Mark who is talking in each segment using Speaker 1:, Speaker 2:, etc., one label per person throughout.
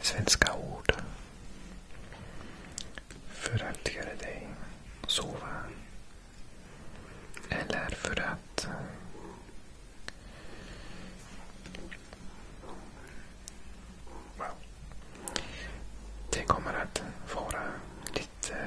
Speaker 1: Svenska ord. För att göra dig sova. Eller för att Det kommer att vara lite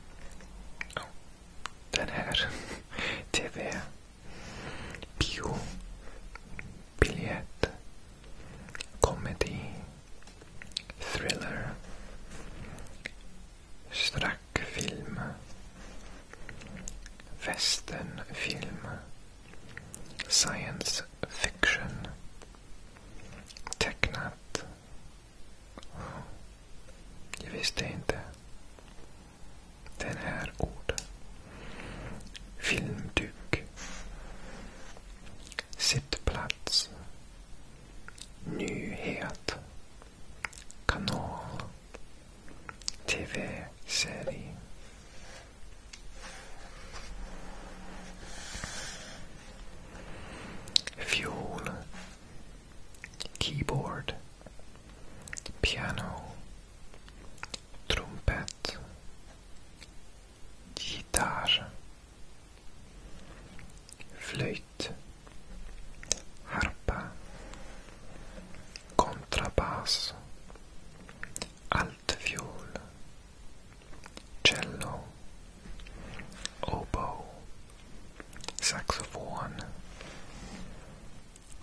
Speaker 1: den här. TV. Bio. Biljett. Comedy. Thriller. Strackfilm. Westernfilm. Science fiction. Tecknat. Jag visste inte den här orden. Filmduk. Sittplats. Nyhet. Kanal. TV-serie. fuel, keyboard, piano, trumpet, gitarze, flöjt, harpa, kontrabas, altfiol, cello, oboe, saxophone,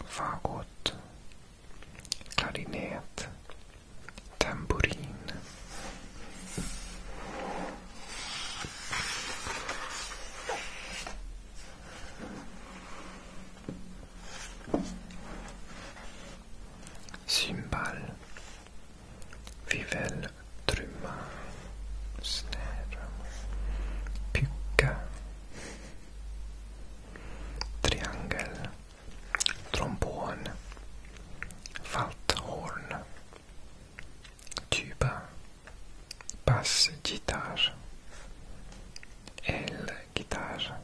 Speaker 1: fagot, clarinet, tambourine. Cymbal, Trumma, Snära. Pycka. Triangel. Trombon. Falthorn. Tuba. Bassgitarr. Elgitarr.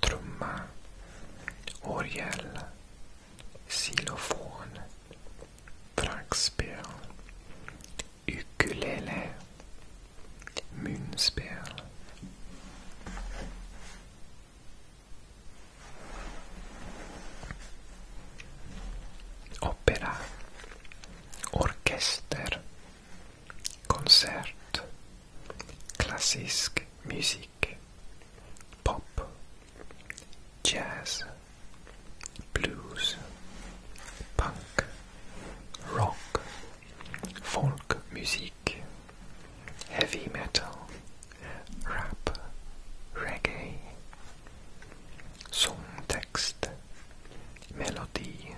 Speaker 1: Trumma. Orgel xylofon, frackspel, ukulele, munspel. Opera, orkester, konsert, klassisk musik. pop, jazz, blues, punk, rock, folk music, heavy metal, rap, reggae, text, melody,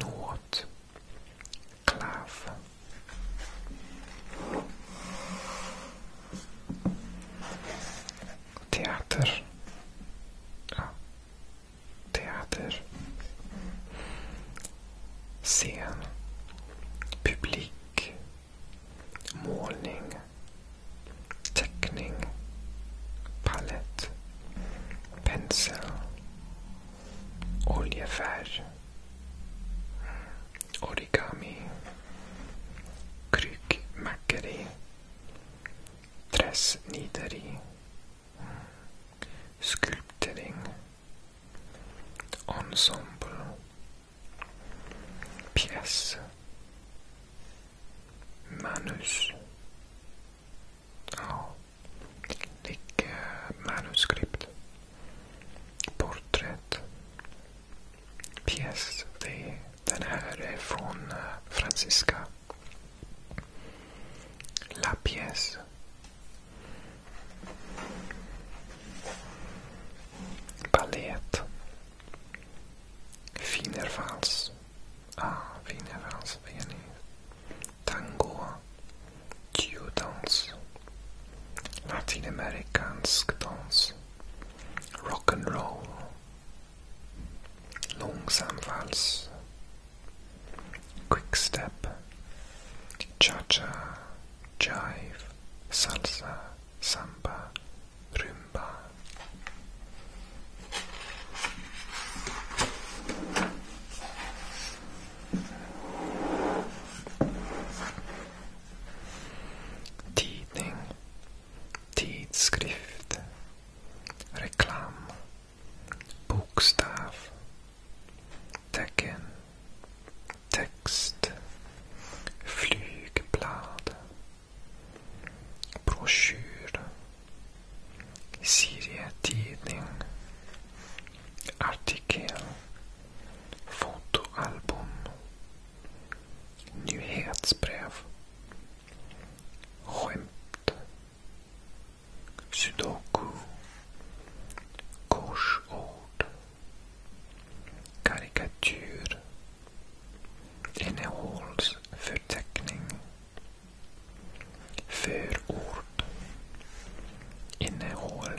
Speaker 1: note, klav, teater. Ja. Teater. Scen. Publik. Målning. Teckning. Palett. Pensel. Oljefärg. Origami. Kryckmackeri. Träsnideri. Skulptering. Ensemble. Pjäs. Manus. Ja. Like manuskript. Porträtt. Pjäs. Det, den här är från eh, Francisca. La pjäs. Ballet. Wienervals. Ah, Wienervals. Tango. Geodance, Latin American dance, rock and roll, long vals, quick step, cha-cha, jive, salsa, samba, rumba. Tidning. Tidskrift. Reklam. Bokstav. Tecken. Text. Flygblad. Broschyr. Serietidning. Artikel. Fotoalbum. Nyhetsbrev. Skämt. Sudoku. Korsord. Karikatyr. Innehållsförteckning. Förord. Innehåll.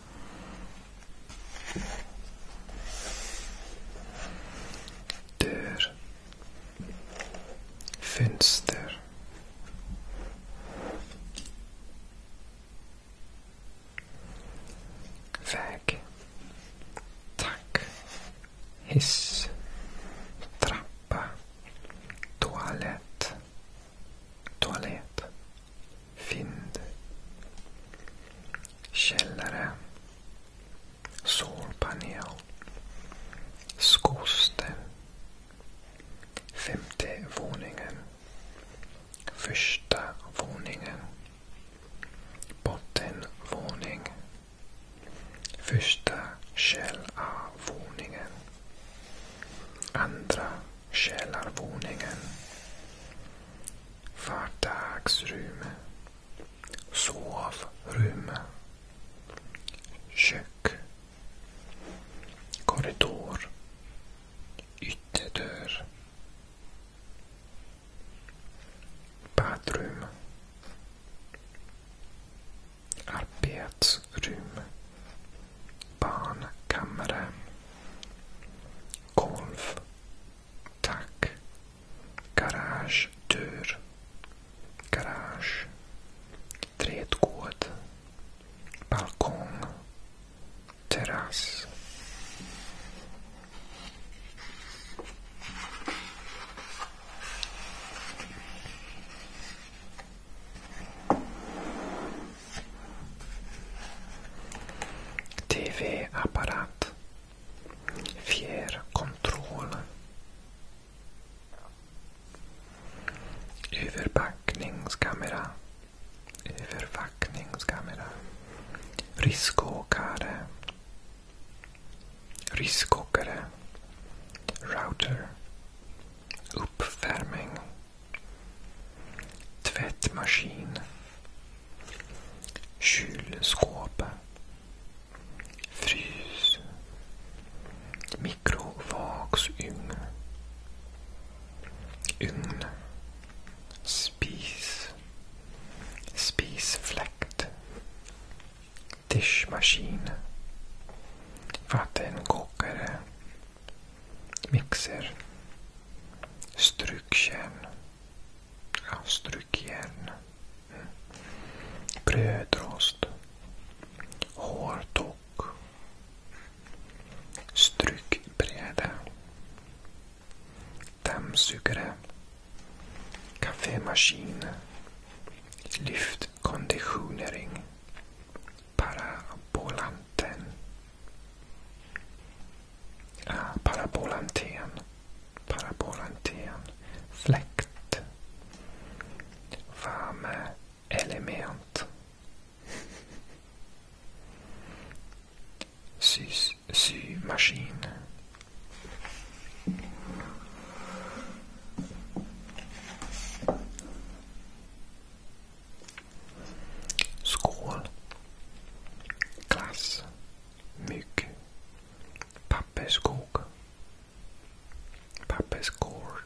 Speaker 1: Dörr. Fönster. Väg. Tack. Hiss. Trappa. Toalett. Toalett. Vind. Källare. Solpanel. Skoster. Femte våningen. Första våningen. Bottenvåning. Första källarvåningen Andra källarvåningen. Vardagsrum. Sovrum. Kök. Korridor. Ytterdörr. Badrum. Arbets rum. Barnkammare. Golv. Tack. Garage. Garagedörr. Garage. Trädgård. Balkong. Terrass. TV-apparat. Fjärrkontroll. Överpackningskamera. Övervakningskamera. Riskåkare. Riskåkare. Router. Uppvärmning. Tvättmaskin. Kylskåp. Frys. Mikrovågsugn. Ugn. Spis. Spisfläkt. Diskmaskin. Vattenkokare. Mixer. Strukkärn. Ja, strykjärn. Mm. Brödrost. Hårdock. Strykbräda Dammsugare. Kaffemaskin. Lyftkonditionering. Parabolanten. Ah, parabolanten. Parabolanten. Fläkt. Värmeelement. Sys, symaskin. Skål. Glass. Mygg. Papperskog Papperskår.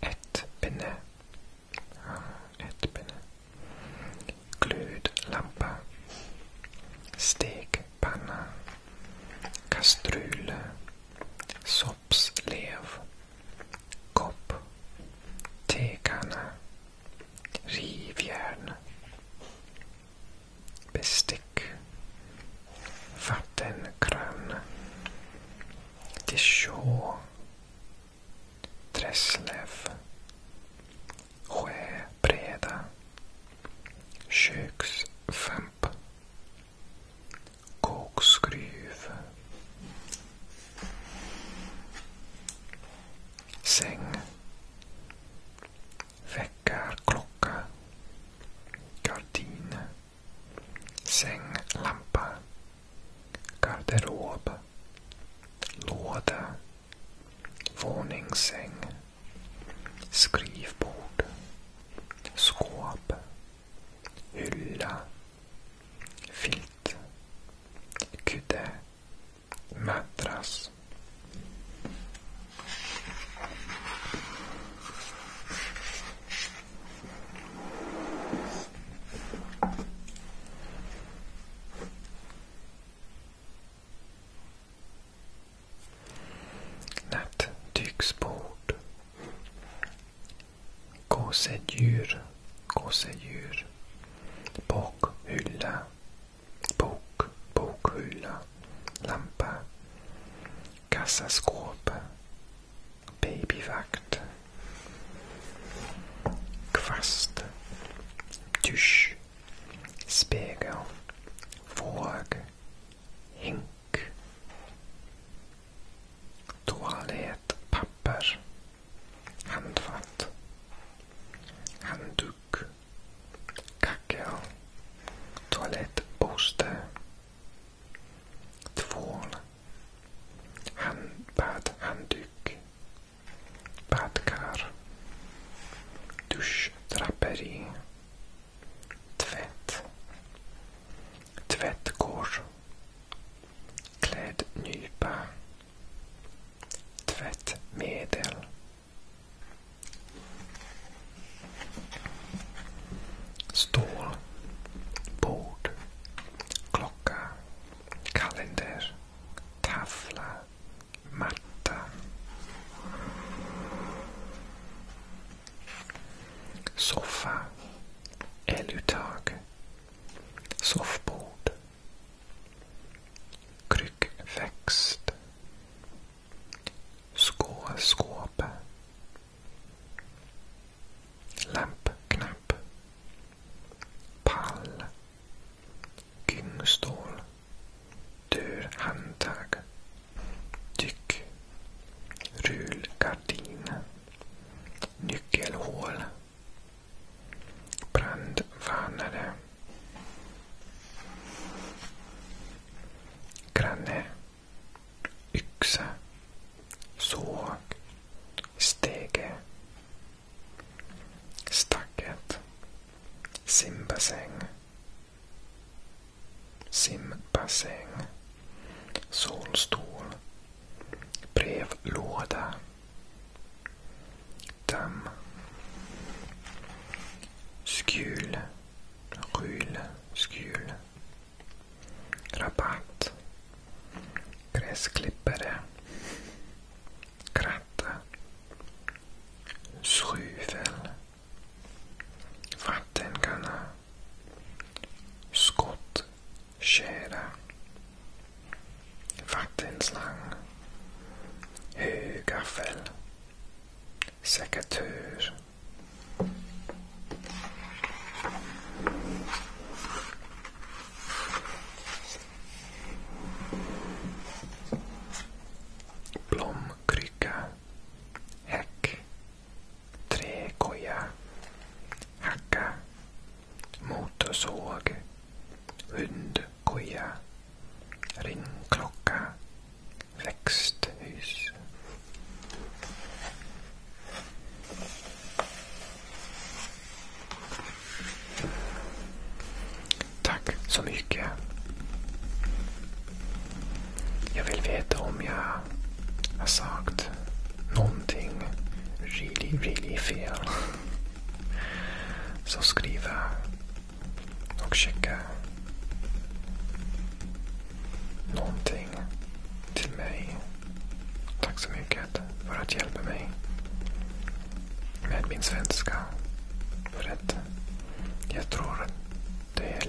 Speaker 1: Ett pinne. Ja, ett pinne. Glöd, Stekpanna. Kastrull. Soppslev. Kopp. Tekanna. Rivjärn. Bestick. Vattenkran. Dijon. dresslev, Sjöbreda. Köksfamp. Kokskruv. Säng. Väckarklocka. Gardin. Sänglampa. Garderob. Låda. Våningssäng. Skrivbord. Skåp. Hylla. Filt. Kudde. Madrass. Nattduksbord. Gosedjur, gosedjur. Bokhylla, bok, bokhylla. Lampa. Kassaskåp. Babyvakt. Kvast. Dusch. Spegel. Våg. Hink. Toalettpapper. Handfat. Handduk. Kackel. Toalettborste. Tvål. Handbad. Handduk. Badkar. Duschdraperi. Tvätt. Tvättkors, Klädnypa. Tvättmedel. Stål. Bord. Klocka. Kalender. taffla, Matta. Soffa. Eluttag. Soffbord. Kryckväxt. Skåskåp. Lampknapp. Pall. Gynstål. Dörrhandtag. Dyck. Rullgardin. Nyckelhål. Brandvarnare. Granne. Yxa. Såg. Stege. Stacket. Simbassäng. Simbassäng. Solstol. Brevlåda. Damm. Skjul. Skjul. Skjul. Rabatt. Gräsklippare. Kratta. Skjuvel Vattenkanna. Skottkärra. Vattenslang. Högaffel. Sekatör. Blomkryka häck, träkoja, hacka, motorsåg, hundkoja, ringklocka, växthus. Tack så mycket. Jag vill veta om jag har sagt någonting really, really fel. Så skriva och skicka någonting till mig. Tack så mycket för att hjälpa mig med min svenska. För att jag tror att det är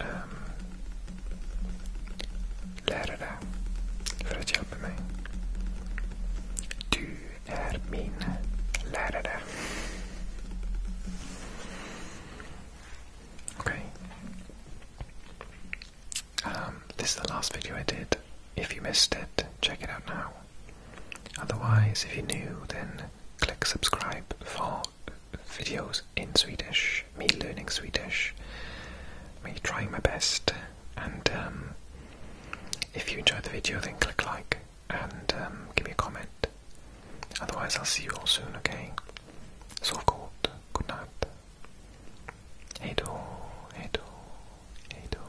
Speaker 1: Ehm, um, this is the last video I did. If you missed it, check it out now. Otherwise, if you're new, then click subscribe for videos in Swedish, me learning Swedish, me trying my best. And um, if you enjoyed the video, then click like and um, give me a comment. Otherwise, I'll see you all soon, okay? Sovgod, good night. Hej då, hej då, hej då.